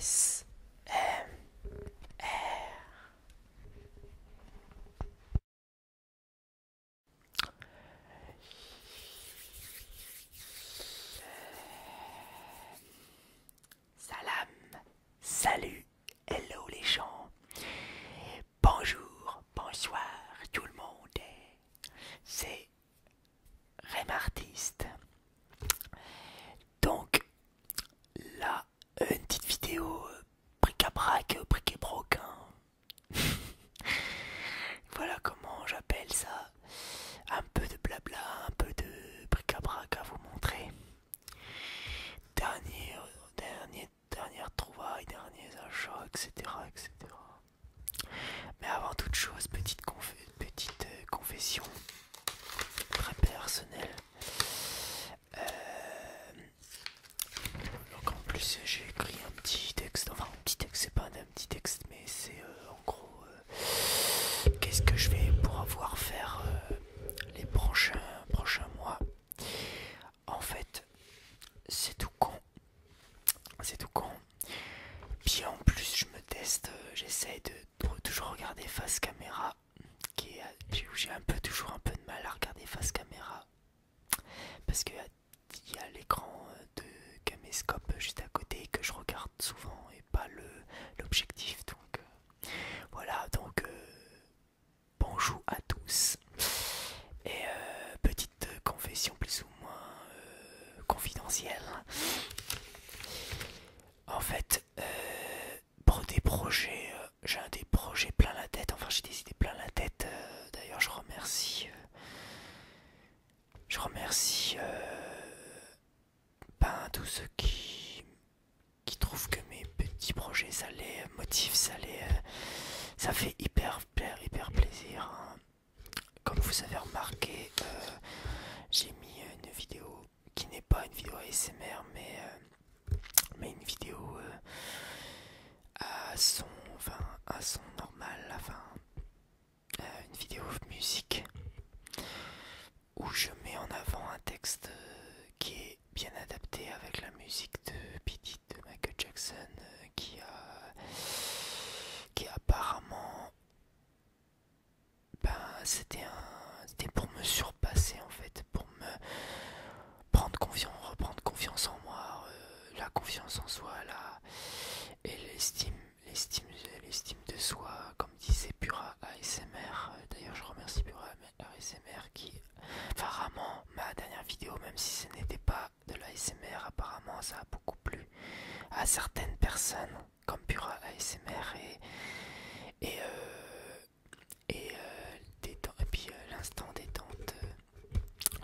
S M R Salam Salut Hello les gens. Bonjour, bonsoir tout le monde. C'est Rémartiste. Donc là, une petite vidéo euh, bric-à-brac, euh, bric-et-broc. Hein. voilà comment j'appelle ça. Un peu de blabla, un peu de bric-à-brac à vous montrer. Dernier, dernier, dernière trouvaille, derniers achats, etc., etc. Mais avant toute chose, petite, petite euh, confession très personnelle. Euh, donc en plus j'ai écrit un petit texte, enfin un petit texte, c'est pas un, petit texte mais c'est euh, en gros qu'est-ce que je vais pouvoir faire les prochains, prochains mois en fait, c'est tout con. C'est tout con. Puis en plus, je me teste, euh, j'essaye de, toujours regarder face caméra. J'ai un peu toujours un peu de mal à regarder face caméra. Parce que y a l'écran euh, de caméscope juste à côté que je regarde souvent et pas l'objectif donc euh, voilà donc bonjour à tous. Et euh, petite confession plus ou moins euh, confidentielle. En fait, euh, pour des projets, j'ai un des projets plein la tête. Enfin, j'ai des idées plein la tête. D'ailleurs, je remercie. je remercie euh, ben, tous ceux qui qui trouve que mes petits projets, ça les motive, ça les... Euh, ça fait hyper, hyper plaisir. Hein. Comme vous avez remarqué, euh, j'ai mis une vidéo qui n'est pas une vidéo ASMR, mais, euh, mais une vidéo à, son, enfin, à son normal, enfin, une vidéo musique où je mets en avant un texte euh, qui est bien adapté avec la musique de Pidit de Michael Jackson euh, qui a qui apparemment ben c'était un c'était pour me surpasser en fait pour me prendre confiance reprendre confiance en moi euh, la confiance en soi et l'estime l'estime l'estime de soi disait Pura ASMR. Euh, d'ailleurs je remercie Pura ASMR qui apparemment ma dernière vidéo, même si ce n'était pas de l'ASMR, apparemment ça a beaucoup plu à certaines personnes comme Pura ASMR et, et, euh, et, euh, et puis l'instant détente.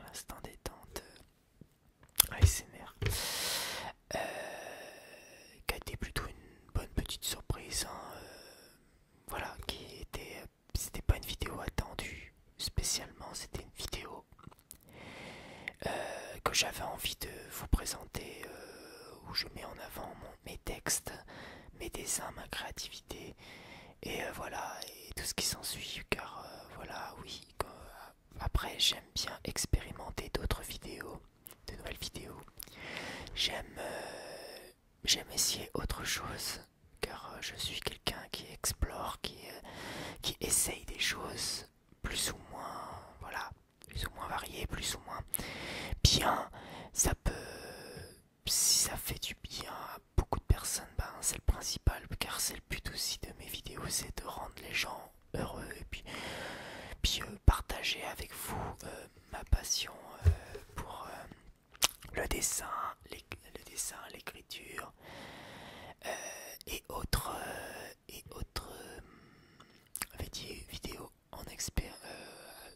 l'instant détente ASMR. qui a été plutôt une bonne petite surprise. Hein, voilà, qui était, c'était pas une vidéo attendue spécialement, c'était une vidéo euh, que j'avais envie de vous présenter, euh, où je mets en avant mon, mes textes, mes dessins, ma créativité, et euh, voilà, et tout ce qui s'ensuit, car voilà, oui, après j'aime bien expérimenter d'autres vidéos, de nouvelles vidéos, j'aime j'aime essayer autre chose, car euh, je suis quelqu'un qui explore, qui, euh, qui essaye des choses, plus ou moins, voilà, plus ou moins variées, plus ou moins bien. Ça peut, si ça fait du bien à beaucoup de personnes, ben c'est le principal, car c'est le but aussi de mes vidéos, c'est de rendre les gens heureux et puis, euh, partager avec vous ma passion euh, pour euh, le dessin, l'écriture euh, et autres et autres vidéos en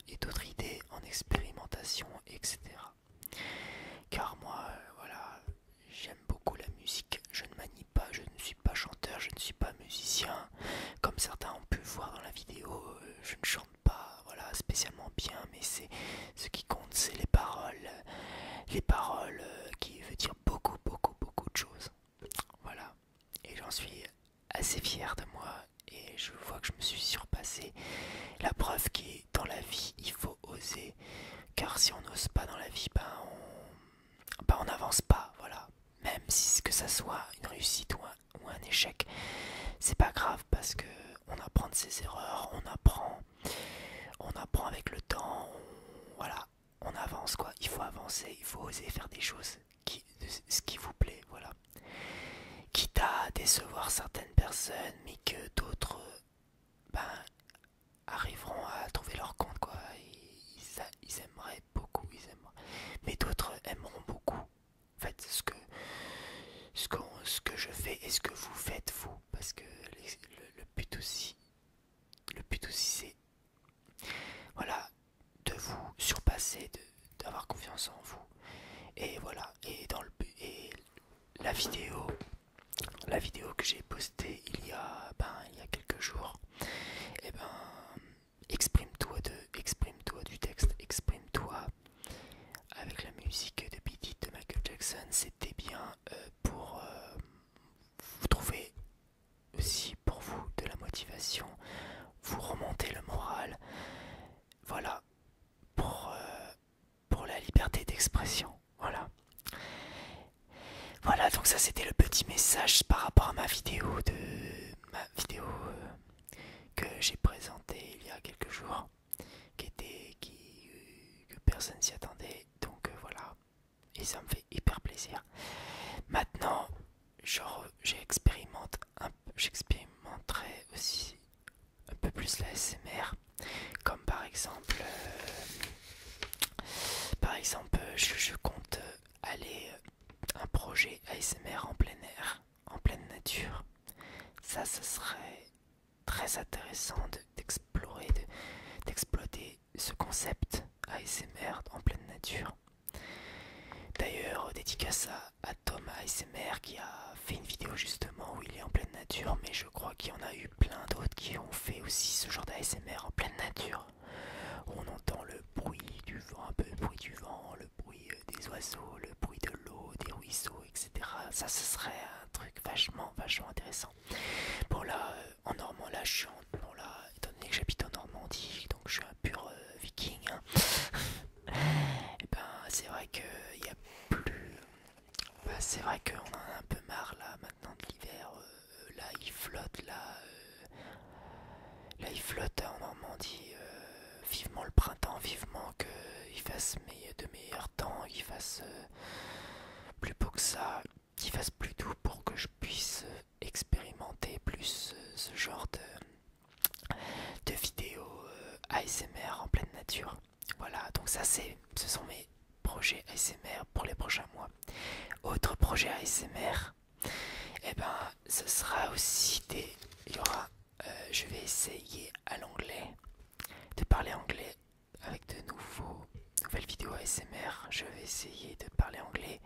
et d'autres idées en expérimentation, etc. Car moi, voilà, j'aime beaucoup la musique. Je ne manie pas, je ne suis pas chanteur, je ne suis pas musicien, comme certains ont pu voir dans la vidéo. je ne pas voilà, spécialement bien, mais c'est ce qui compte, c'est les paroles. Les paroles euh, qui veut dire beaucoup, beaucoup, beaucoup de choses. Voilà. Et j'en suis assez fière de moi et je vois que je me suis surpassé. La preuve qui est dans la vie, il faut oser. Car si on n'ose pas dans la vie, ben on ben, n'avance pas. Voilà même si ce que ça soit une réussite ou un, échec, c'est pas grave parce que on apprend de ses erreurs, on apprend, on apprend avec le temps, on, voilà, on avance quoi. Il faut avancer, il faut oser faire des choses qui, ce qui vous plaît, voilà. Quitte à décevoir certaines personnes, mais que d'autres, ben, arriveront à trouver leur compte quoi. Ils, aimeraient beaucoup, ils aimeraient, mais d'autres aimeront beaucoup Faites ce que, ce, que je fais et ce que vous faites, vous. Parce que le, but aussi, le but aussi, c'est voilà, de vous surpasser, d'avoir confiance en vous. Et voilà, et dans le et la vidéo, la vidéo que j'ai postée il y a ben il y a quelques jours, et eh ben exprime-toi de, exprime-toi du texte, exprime-toi avec la musique de Beat de Michael Jackson. C'était bien euh, pour euh, vous trouver aussi pour vous de la motivation, vous remonter le moral. Voilà pour euh, pour la liberté d'expression. Voilà. Voilà, donc ça c'était le petit message par rapport à ma vidéo de ma vidéo que j'ai présenté il y a quelques jours, qui était qui euh, que personne s'y attendait. Donc euh, voilà, et ça me fait hyper plaisir. Maintenant, j'expérimenterai aussi un peu plus la SMR, comme par exemple, euh, par exemple, je compte aller un projet ASMR en plein air, en pleine nature. Ça, ce serait très intéressant d'explorer, d'exploiter ce concept ASMR en pleine nature. D'ailleurs, dédicace à, à Tom ASMR qui a fait une vidéo justement où il est en pleine nature, mais je crois qu'il y en a eu plein d'autres qui ont fait aussi ce genre d'ASMR en pleine nature. on entend le bruit du vent, un peu le bruit du vent, le bruit euh, des oiseaux, le bruit de l'eau, des ruisseaux, etc. Ça, ce serait un truc vachement, vachement intéressant. Bon là, euh, en Normand, là, je suis en, bon là, étant donné que j'habite en Normandie, donc je suis un pur euh, viking. Et hein. eh ben, c'est vrai que il a plus. c'est vrai qu'on en a un peu marre là maintenant de l'hiver. là, il flotte là. Euh, là il flotte en Normandie. dit euh, vivement le printemps, vivement que il fasse de meilleurs temps, qu'il fasse euh, plus beau que ça, qu'il fasse plus doux pour que je puisse expérimenter plus ce genre de, vidéos ASMR en pleine nature. Voilà, donc ça c'est, ce sont mes projets ASMR pour les prochains mois. Autre projet ASMR, et eh ben, ce sera aussi des. Il y aura. Euh, je vais essayer à l'anglais de parler anglais avec de nouveaux, nouvelles vidéos ASMR. Je vais essayer de parler anglais.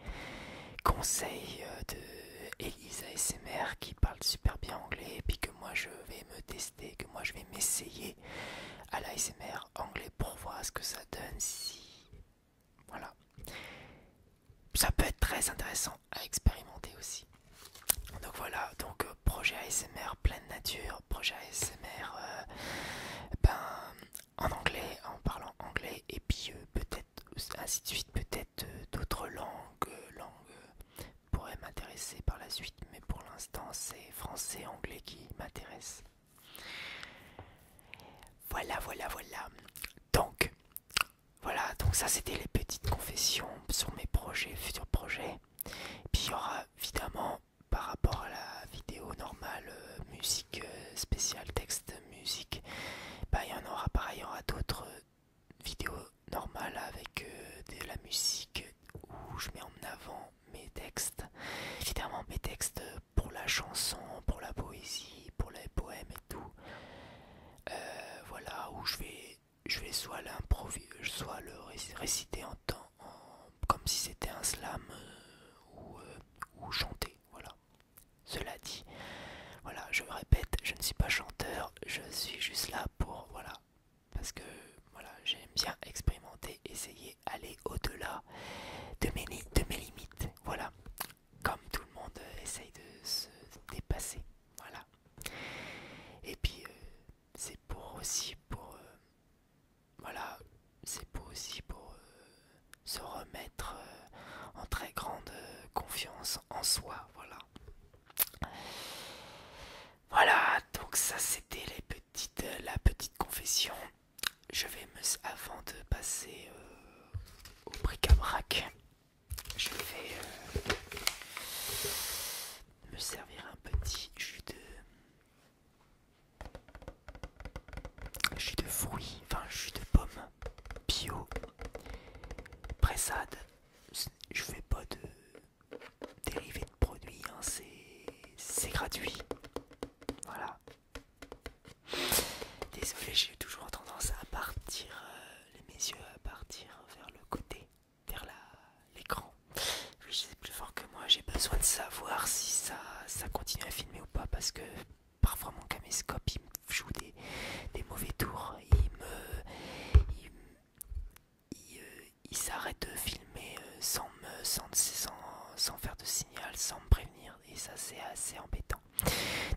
Conseil euh, de Elisa ASMR qui parle super bien anglais et puis que moi je vais me tester, que moi je vais m'essayer à l'ASMR anglais pour voir ce que ça donne si voilà. Ça peut être très intéressant à expérimenter aussi. Donc voilà, donc euh, projet ASMR pleine nature, projet ASMR euh, ben, en anglais, en parlant anglais, et puis euh, peut-être ainsi de suite, peut-être d'autres langues, langues pourraient m'intéresser par la suite, mais pour l'instant c'est français, anglais qui m'intéresse. Voilà, voilà, voilà. Donc, voilà, donc ça c'était les petites confessions sur mes projets, futurs projets. puis il y aura évidemment par rapport à la vidéo normale, euh, musique euh, spéciale, texte, musique, bah, il y en aura pareil, il y d'autres euh, vidéos normales avec de la musique où je mets en avant mes textes. Évidemment mes textes pour la chanson, pour la poésie, pour les poèmes et tout. Euh, voilà, où je vais, je vais soit l'improviser, soit le réciter en temps, comme si c'était un slam euh, euh, ou, chanter. Voilà. Cela dit, voilà, je me répète, je ne suis pas chanteur, je suis juste là pour, voilà, parce que voilà, j'aime bien expérimenter, essayer, aller au-delà de mes limites. Voilà comme tout le monde euh, essaye de se dépasser. Voilà. Et puis euh, c'est pour aussi pour euh, voilà, c'est pour aussi pour se remettre en très grande confiance en soi, voilà. Voilà, donc ça c'était les petites la petite confession. Je vais me avant de passer au bric-à-brac. Je vais euh, me servir un petit jus de jus de fruits, enfin jus de pomme bio pressade. Je fais pas de dérivés de produits, hein, c'est gratuit. Voilà. Désolé, j'ai toujours tendance à partir, euh, mes yeux à partir vers le côté, vers l'écran. Je sais plus fort que moi, j'ai besoin de savoir si ça, ça continue à filmer ou pas parce que parfois mon caméscope il me joue des, mauvais tours. Il me. Il, euh, s'arrête de filmer euh, sans, me, sans faire de signal, sans me prévenir et ça c'est assez embêtant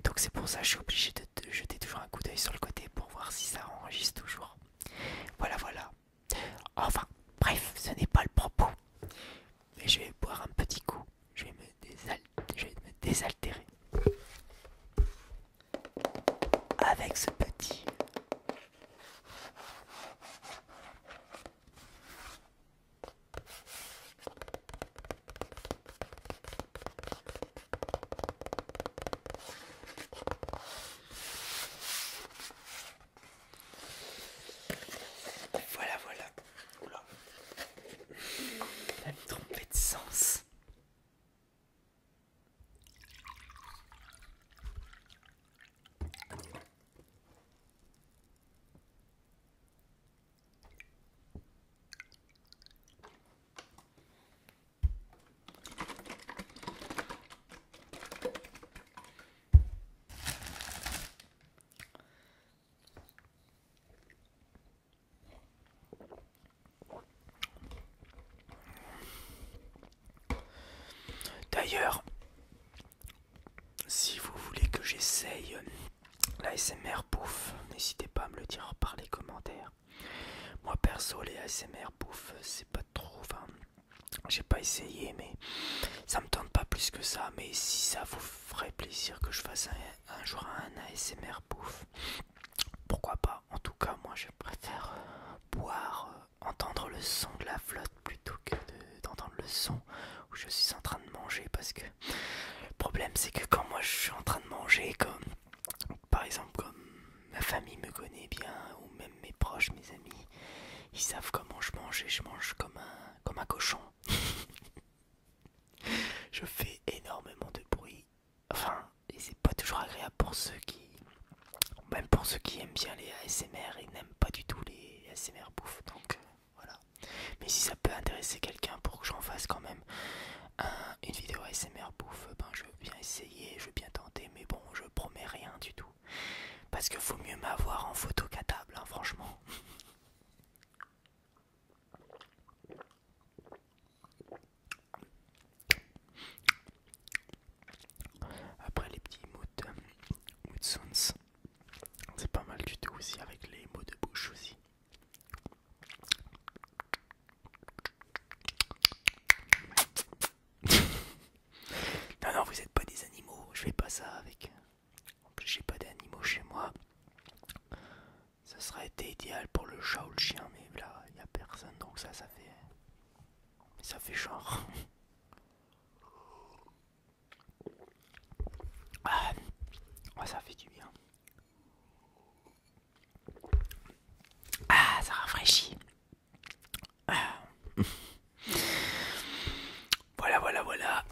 donc c'est pour ça que je suis obligé de, jeter toujours un coup d'œil sur le côté pour voir si ça enregistre toujours voilà voilà enfin bref ce n'est pas le propos mais je vais boire un petit coup je vais me désaltérer avec ce petit voilà, voilà. Oula. Elle me de sens. D'ailleurs, si vous voulez que j'essaye L'ASMR bouffe, n'hésitez pas à me le dire par les commentaires. Moi perso, les ASMR bouffe, c'est pas trop. j'ai pas essayé, mais ça me tente pas plus que ça. Mais si ça vous ferait plaisir que je fasse un, jour un ASMR bouffe, pourquoi pas En tout cas, moi je préfère boire, euh, entendre le son de la flotte plutôt que d'entendre le son où je suis en train de manger parce que le problème c'est que quand moi je suis en train de manger, comme par exemple comme ma famille me connaît bien, ou même mes proches, mes amis, ils savent comment je mange et je mange comme un, cochon. je fais énormément de bruit. Enfin, et c'est pas toujours agréable pour ceux qui... Même pour ceux qui aiment bien les ASMR et n'aiment pas du tout les ASMR bouffe. Donc euh, voilà. Mais si ça peut intéresser quelqu'un pour que j'en fasse quand même une vidéo ASMR bouffe, eh ben je veux bien essayer, je veux bien tenter, mais bon, je promets rien du tout. Parce que vaut mieux m'avoir en photo qu'à table, hein, franchement. Après les petits moods, c'est pas mal du tout aussi avec les mots de bouche aussi. non, non, vous n'êtes pas des animaux, je fais pas ça avec. En plus, j'ai pas d'animaux chez moi. Ça serait été idéal pour le chat ou le chien, mais là, il n'y a personne, donc ça, ça fait. Ça fait genre. Ah, ça fait du bien. Ah, ça rafraîchit. Ah. voilà, voilà, voilà.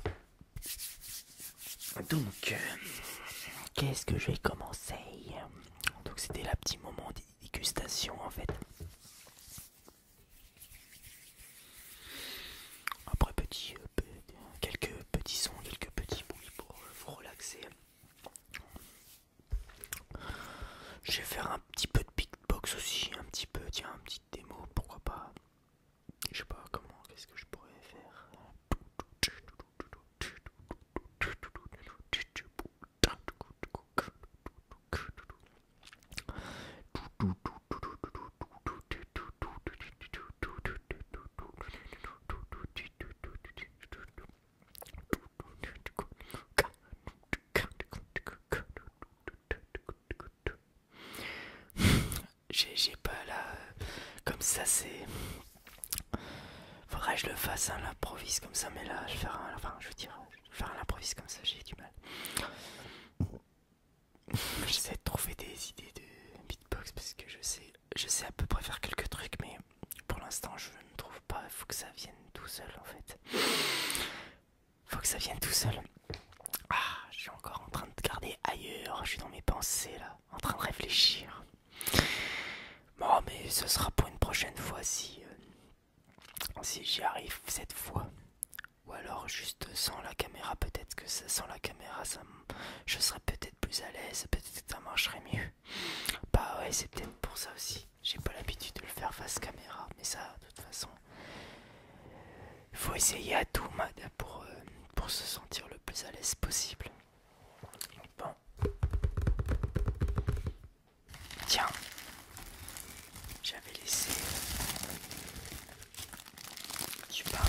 Donc, euh, qu'est-ce que je vais commencer Donc, c'était le petit moment dégustation en fait. Après, petit, euh, quelques petits sons, quelques petits bruits pour vous euh, relaxer. Je vais faire un petit peu de beatbox aussi, un petit peu, tiens, un petit démo, pourquoi pas. Je sais pas comment, qu'est-ce que je pourrais faire. J'ai pas là. comme ça, c'est. Faudrait que je le fasse à hein, l'improvise comme ça, mais là, je vais faire un. Enfin, je veux faire l'improvise comme ça, j'ai du mal. J'essaie de trouver des idées de beatbox parce que je sais, je sais à peu près faire quelques trucs, mais pour l'instant je ne trouve pas. Il faut que ça vienne tout seul en fait. Faut que ça vienne tout seul. Ah, je suis encore en train de garder ailleurs. Je suis dans mes pensées là, en train de réfléchir. Bon, mais ce sera pour une prochaine fois si, euh, si j'y arrive cette fois. Ou alors juste sans la caméra, peut-être que sans la caméra, ça, je serais peut-être plus à l'aise, peut-être que ça marcherait mieux. Bah ouais, c'est peut-être pour ça aussi. J'ai pas l'habitude de le faire face caméra, mais ça, de toute façon, il faut essayer à tout, pour, euh, pour se sentir le plus à l'aise possible. Bon. Tiens, j'avais laissé du pain.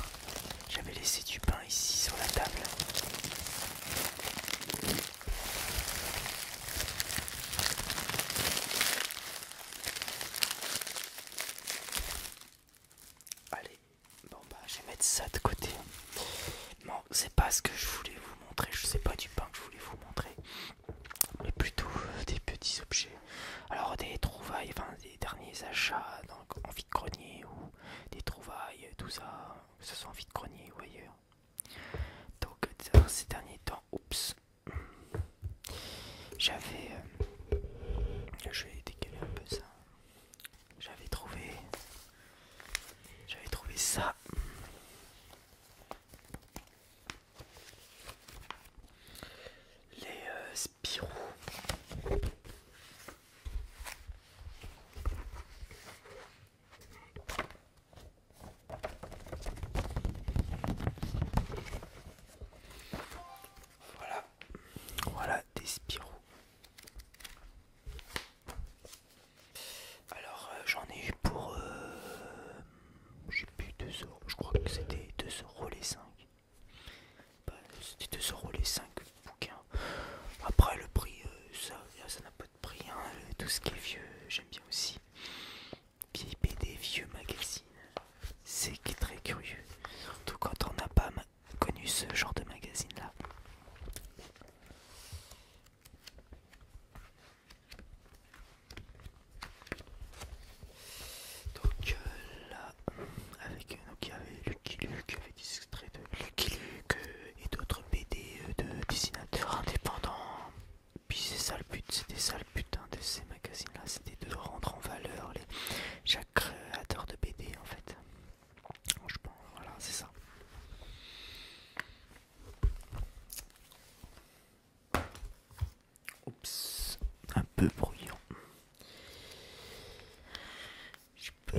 J'avais laissé du pain ici sur la table. Allez, bon bah je vais mettre ça de côté. Bon, c'est pas ce que je voulais vous montrer, je sais pas du pain que je voulais vous montrer, mais plutôt euh, des petits objets alors des trouvailles, enfin des derniers achats donc, en de grenier ou des trouvailles, tout ça, ce sont en de grenier ou ailleurs. Donc euh, ces derniers temps, oups, j'avais, euh, je vais décaler un peu ça, j'avais trouvé, j'avais trouvé ça. Les euh, Spirou. Voilà, voilà des Spirou. Alors euh, j'en ai eu pour, euh, j'ai plus 2 euros, je crois que c'était 2 euros les 5 de bah, C'était 2€ les 5 bouquins. Après, le prix, euh, ça n'a pas de prix. Hein. tout ce qui est vieux, j'aime bien aussi. Vieilles des vieux magazines. C'est très curieux. Tout quand on n'a pas connu ce genre de magazine là. Donc euh, là, avec euh, donc il y avait Lucky des extraits de Lucky Luke euh, et d'autres BD de dessinateurs indépendants. Puis c'est ça le but, c'était ça le but hein, de ces magazines-là, c'était de rendre en valeur les, chaque créateur de BD en fait. Je pense, voilà, c'est ça. Oups, un peu bruyant. Je peux...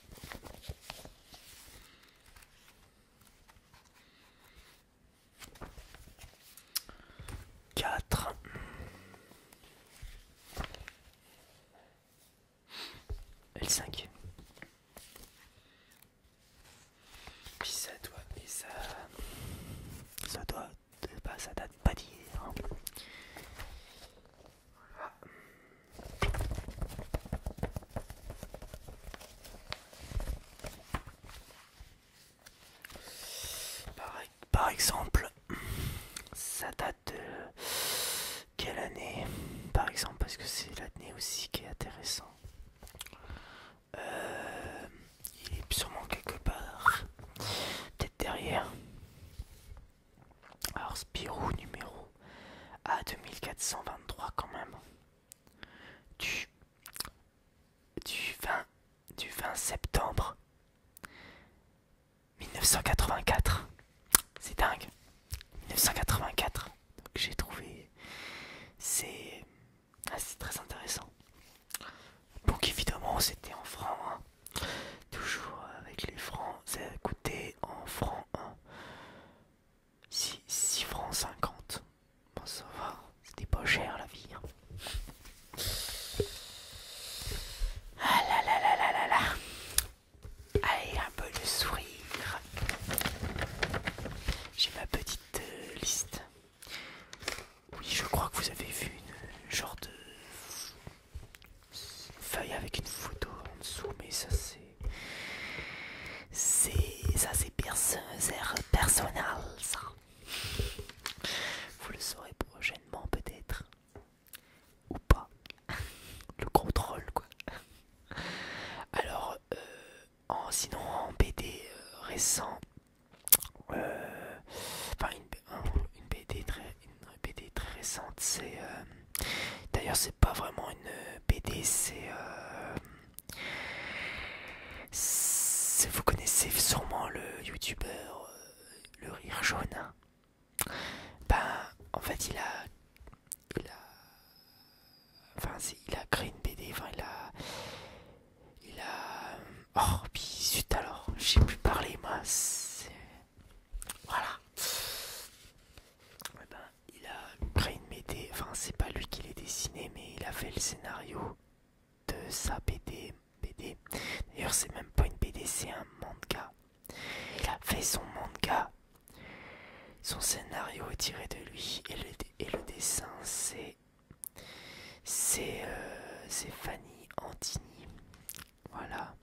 4 l 5. Puis ça doit, et ça, ça doit, pas, ça date pas d'hier. Hein. Par, exemple, ça date de quelle année Par exemple, parce que c'est l'année aussi qui est intéressant. Euh, il est sûrement quelque part, peut-être derrière. Alors Spirou numéro A2423 quand même. Du, 20, du 20 septembre 1984. C'est dingue. 1984. Donc j'ai trouvé. C'est assez ah, très intéressant. Donc évidemment c'était en franc. Hein. Toujours avec les francs, ça a coûté en francs 1. Hein. 6, francs 50. Bon, ça va, c'était pas cher la vie. Hein. Ah là là là là là là. Allez, un peu de sourire. J'ai ma petite euh, liste. Oui, je crois que vous avez vu une genre de feuille avec une photo en dessous, mais ça c'est. C'est. Ça c'est personnel, ça. Vous le saurez prochainement, peut-être. Ou pas. Le contrôle, quoi. Alors, euh, en, sinon, en BD euh, récent. Euh, enfin, une, une BD très une BD très récente. C'est euh, d'ailleurs c'est pas vraiment une BD, euh, euh, c'est vous connaissez sûrement le youtubeur le rire jaune. Ben en fait il a il a enfin il a créé une BD, enfin il a il a oh puis alors j'ai plus parlé, moi voilà. Eh ben, il a créé une BD, enfin c'est pas lui qui l'a dessiné, mais il a fait le scénario de sa BD. BD. D'ailleurs c'est même pas une BD, c'est un manga. Il a fait son manga. Son scénario est tiré de lui et le, dessin c'est c'est euh, Fanny Antini voilà.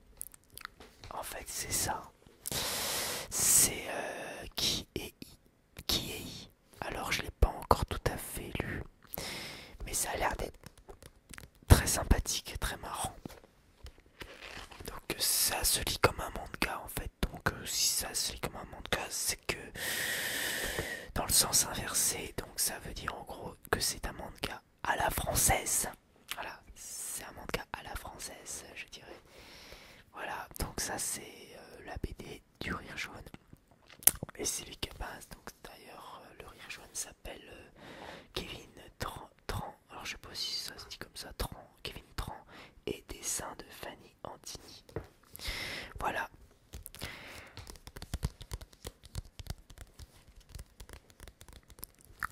En fait, c'est ça. C'est euh, qui est I Qui est I Alors, je l'ai pas encore tout à fait lu. Mais ça a l'air d'être très sympathique et très marrant. Donc, euh, ça se lit comme un manga en fait. Donc, euh, si ça se lit comme un manga, c'est que dans le sens inversé. Donc, ça veut dire en gros que c'est un manga à la française. Voilà, c'est un manga à la française, je dirais. Voilà, donc ça c'est euh, la BD du rire jaune. Et c'est lui qui passe. Donc d'ailleurs, euh, le rire jaune s'appelle euh, Kevin Tran, Alors je sais pas si ça se dit comme ça, Tran, Kevin Tran. Et dessin de Fanny Antini. Voilà.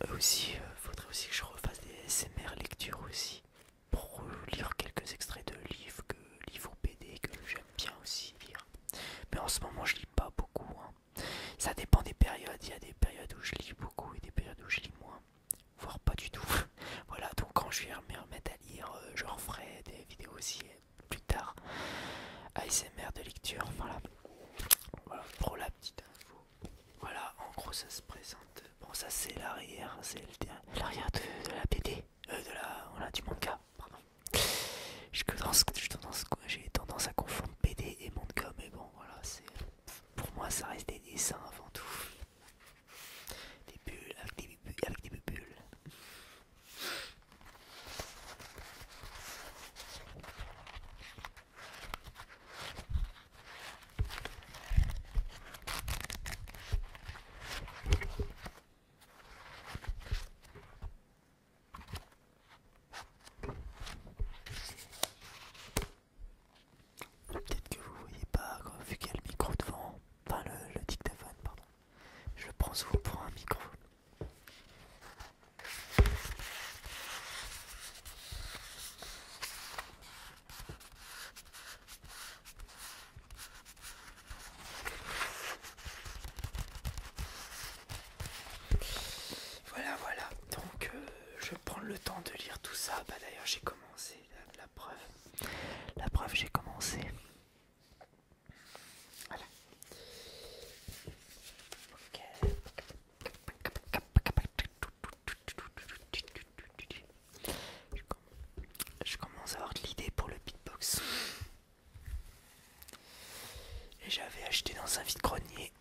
Euh, aussi, euh, faudrait aussi que je refasse des SMR lecture aussi pour lire quelques extraits de livres que livres BD que j'aime bien aussi lire. Mais en ce moment, je lis pas beaucoup. Hein. Ça dépend des périodes. Il y a des périodes où je lis beaucoup et des périodes où je lis moins, voire pas du tout. voilà. Donc quand je vais me remettre à lire, euh, je referai des vidéos aussi plus tard. ASMR de lecture. Voilà. pour la voilà, en gros ça se présente. Bon ça c'est l'arrière, c'est l'arrière de, la PD, de la, euh, du manga, pardon. J'ai tendance, à confondre PD et manga, mais bon voilà, c'est pour moi ça reste des dessins avant tout. Des bulles avec des bulles, avec des bulles. Peut-être que vous voyez pas vu qu'il y a le micro devant, enfin le, le dictaphone pardon. Je le prends souvent pour un micro. Voilà, voilà. Donc, euh, je prends le temps de lire tout ça. Bah, d'ailleurs, j'ai commencé la, preuve. La preuve, j'ai commencé. Voilà. Ok. Je commence à avoir de l'idée pour le beatbox. Et j'avais acheté dans un vide-grenier.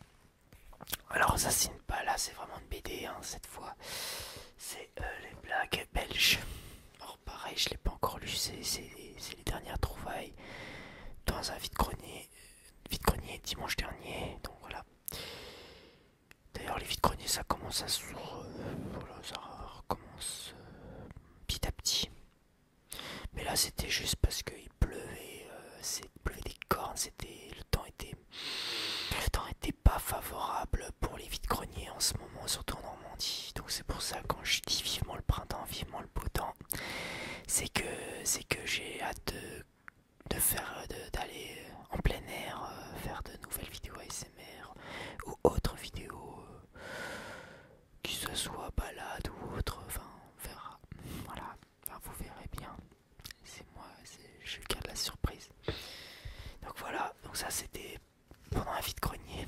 Alors ça c'est pas là, c'est vraiment une BD hein, cette fois. C'est euh, les blagues belges. Or pareil, je l'ai pas encore lu, c'est les dernières trouvailles dans un vide-grenier vide grenier dimanche dernier. Donc voilà. D'ailleurs les vides greniers ça commence à se ça recommence euh, petit à petit. Mais là c'était juste parce qu'il pleuvait, euh, c'est pleuvait des cornes, c'était le temps était le temps était pas favorable pour les vides greniers en ce moment, surtout en Normandie. Donc c'est pour ça quand je dis vivement le printemps, vivement que C'est que, j'ai hâte de, faire d'aller euh, en plein air, euh, faire de nouvelles vidéos ASMR ou autres vidéos, euh, qui que ce soit balade ou autre, enfin on verra. Voilà, vous verrez bien. C'est moi, je garde la surprise. Donc voilà, donc ça c'était pendant vie de grenier.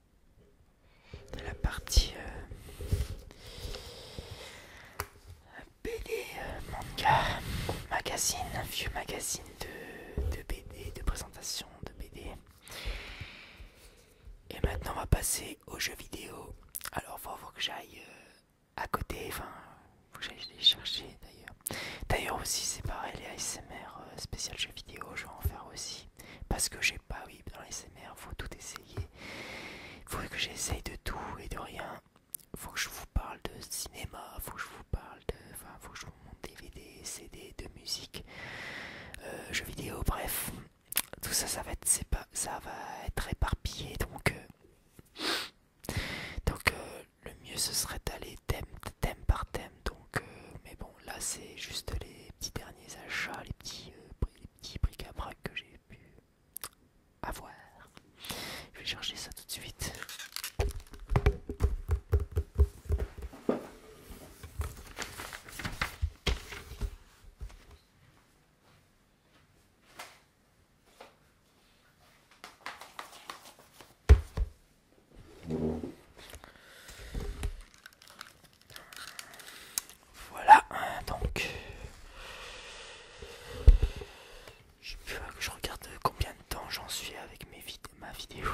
de la partie euh, BD euh, manga magazine, vieux magazine de, BD, de présentation de BD. Et maintenant on va passer aux jeux vidéo. Alors faut, faut que j'aille euh, à côté, enfin faut que j'aille les chercher d'ailleurs. D'ailleurs aussi c'est pareil les ASMR spécial jeux vidéo, je vais en faire aussi parce que j'ai pas oui dans les SMR faut tout essayer faut que j'essaye de tout et de rien faut que je vous parle de cinéma faut que je vous parle de enfin faut que je vous montre DVD CD de musique euh, jeux vidéo bref tout ça ça va être c'est pas ça va être éparpillé donc euh, donc euh, le mieux ce serait d'aller thème par thème donc, euh, mais bon, là c'est juste les petits derniers achats, les petits, euh, les petits bric-à-brac que j'ai pu avoir. Je vais chercher ça tout de suite. Voilà, donc je, je regarde combien de temps j'en suis avec mes ma vidéo.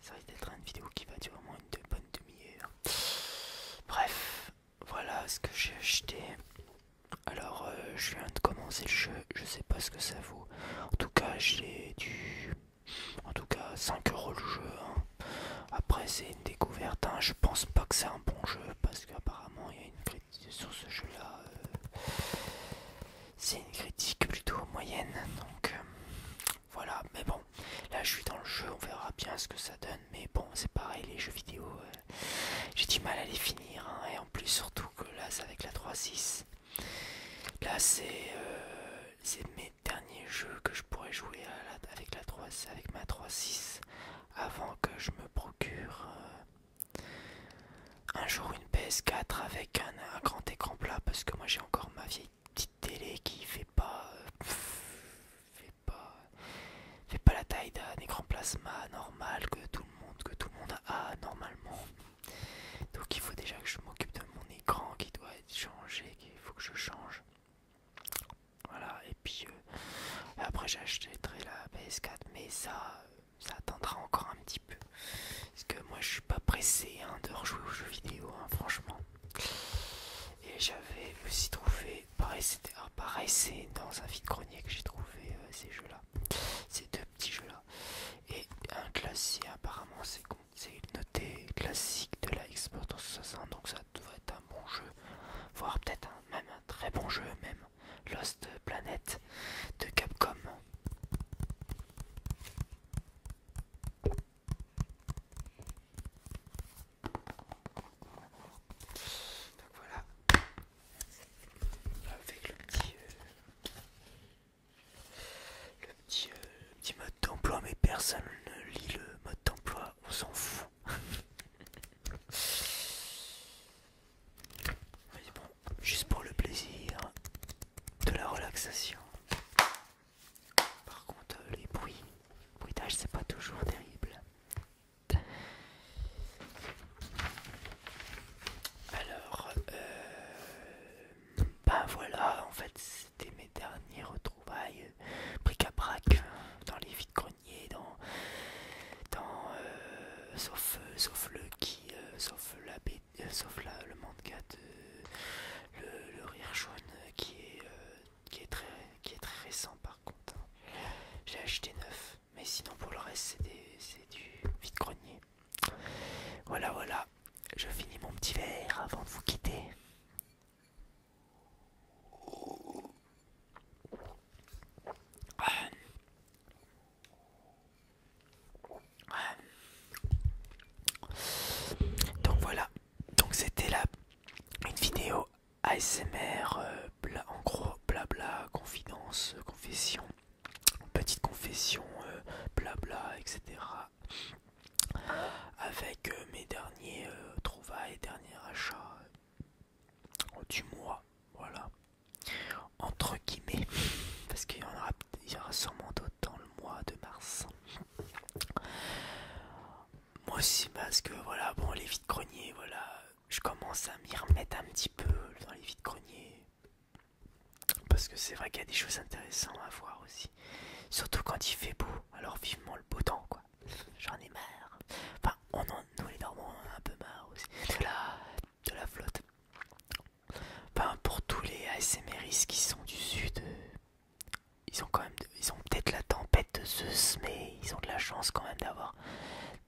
Ça va être une vidéo qui va durer au moins une bonne demi-heure. Bref, voilà ce que j'ai acheté. Alors, euh, je viens de commencer le jeu, je sais pas ce que ça vaut. En tout cas, j'ai du en tout cas, 5 euros le jeu. Hein. Après, c'est une découverte. Hein. Je pense pas que c'est un bon jeu parce qu'apparemment, il y a une critique sur ce jeu-là. Euh, c'est une critique plutôt moyenne. Donc euh, voilà. Mais bon, là, je suis dans le jeu. On verra bien ce que ça donne. Mais bon, c'est pareil, les jeux vidéo, euh, j'ai du mal à les finir. Hein. Et en plus, surtout que là, c'est avec la 3.6. Là, c'est c'est mes derniers jeux que je pourrais jouer avec, la 3, avec ma 3.6 avant que je me procure euh, un jour une PS4 avec un, grand écran plat parce que moi j'ai encore ma vieille petite télé qui euh, fait pas fait pas la taille d'un écran plasma normal que tout le monde que tout le monde a normalement donc il faut déjà que je m'occupe de mon écran qui doit être changé, qu'il faut que je change. Voilà, et puis euh, après j'achèterai la PS4, mais ça, ça attendra encore un petit peu. Parce que moi je suis pas pressé hein, de rejouer aux jeux vidéo, hein, franchement. Et j'avais aussi trouvé, pareil c'était ah, dans un vide-grenier que j'ai trouvé euh, ces jeux-là, ces deux petits jeux-là. Et un classique apparemment c'est c'est une notée classique de la Xbox 360, donc ça devrait être un bon jeu, voire peut-être même un très bon jeu, même Lost Planet de Capcom. Donc voilà, avec le euh, euh, le petit, mode d'emploi, mais personne ne lit le mode d'emploi, on s'en fout. Mais bon, juste pour le plaisir de la relaxation. Par contre, euh, les bruits, le bruitage, c'est pas toujours terrible. Alors, euh, ben voilà, en fait, c'était mes derniers retrouvailles euh, bric-à-brac euh, dans les vides-greniers, dans. Euh, sauf, le qui, manga de. le, rire jaune qui est, très, récent par contre. Hein. J'ai acheté neuf, mais sinon pour le reste, c'est du vide-grenier. Voilà, voilà, je finis mon petit verre avant de vous quitter. Donc voilà, donc c'était là une vidéo ASMR, euh, en gros blabla, confidence, confession petite confession, euh, blabla, etc. Avec euh, mes derniers euh, trouvailles, derniers achats du mois, voilà, entre guillemets, parce qu'il y, en aura, sûrement d'autres dans le mois de mars. Moi aussi, parce que voilà, bon, les vides greniers, voilà, je commence à m'y remettre un petit peu dans les vides greniers. Parce que c'est vrai qu'il y a des choses intéressantes à voir aussi. Surtout quand il fait beau. Alors vivement le beau temps quoi. J'en ai marre. Enfin, on en, nous les Normands un peu marre aussi. De la, de la flotte. Enfin, pour tous les ASMRistes qui sont du sud, euh, ils ont quand même, ils ont peut-être la tempête de Zeus, mais ils ont de la chance quand même d'avoir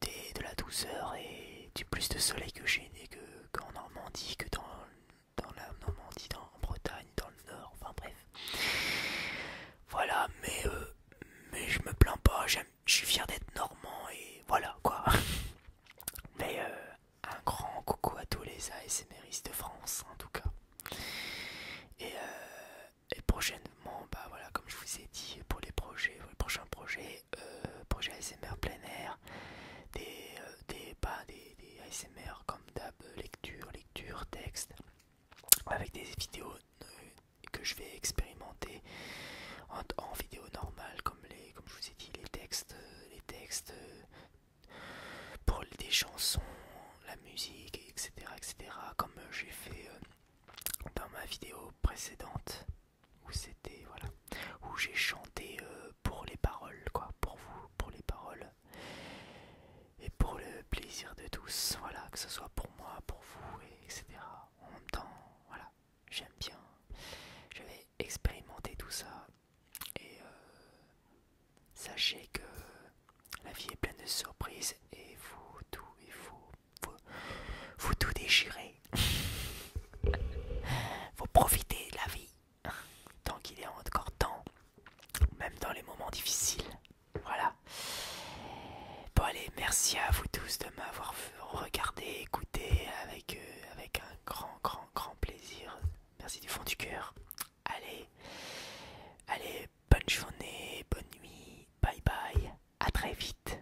de la douceur et du plus de soleil que j'ai que qu'en Normandie, que dans dans la Normandie, dans, en Bretagne, dans le Nord, enfin bref. Voilà, mais, euh, mais je me plains pas, je suis fier d'être normand et voilà quoi. Mais euh, un grand coucou à tous les ASMRistes de France en tout cas. Euh, et, prochainement, bah voilà, comme je vous ai dit, pour les projets, pour les prochains projets, euh, projets ASMR plein air, des, euh, des, ASMR comme d'hab, euh, lecture, lecture, texte, avec des vidéos que je vais expérimenter en, vidéo normale, comme, les, comme je vous ai dit, les textes, les textes pour des chansons, la musique, etc. etc. comme j'ai fait dans ma vidéo précédente où c'était voilà où j'ai chanté euh, pour les paroles quoi pour vous pour les paroles et pour le plaisir de tous voilà que ce soit pour moi pour vous etc en même temps voilà j'aime bien je vais expérimenter tout ça et euh, sachez que la vie est pleine de surprises et vous tout il faut vous, vous tout déchirez. Vous profitez de la vie tant qu'il est encore temps, même dans les moments difficiles. Voilà. Bon allez, merci à vous tous de m'avoir regardé, écouté avec, euh, avec un grand, grand, grand plaisir. Merci du fond du cœur. Allez, allez, bonne journée, bonne nuit, bye bye, à très vite.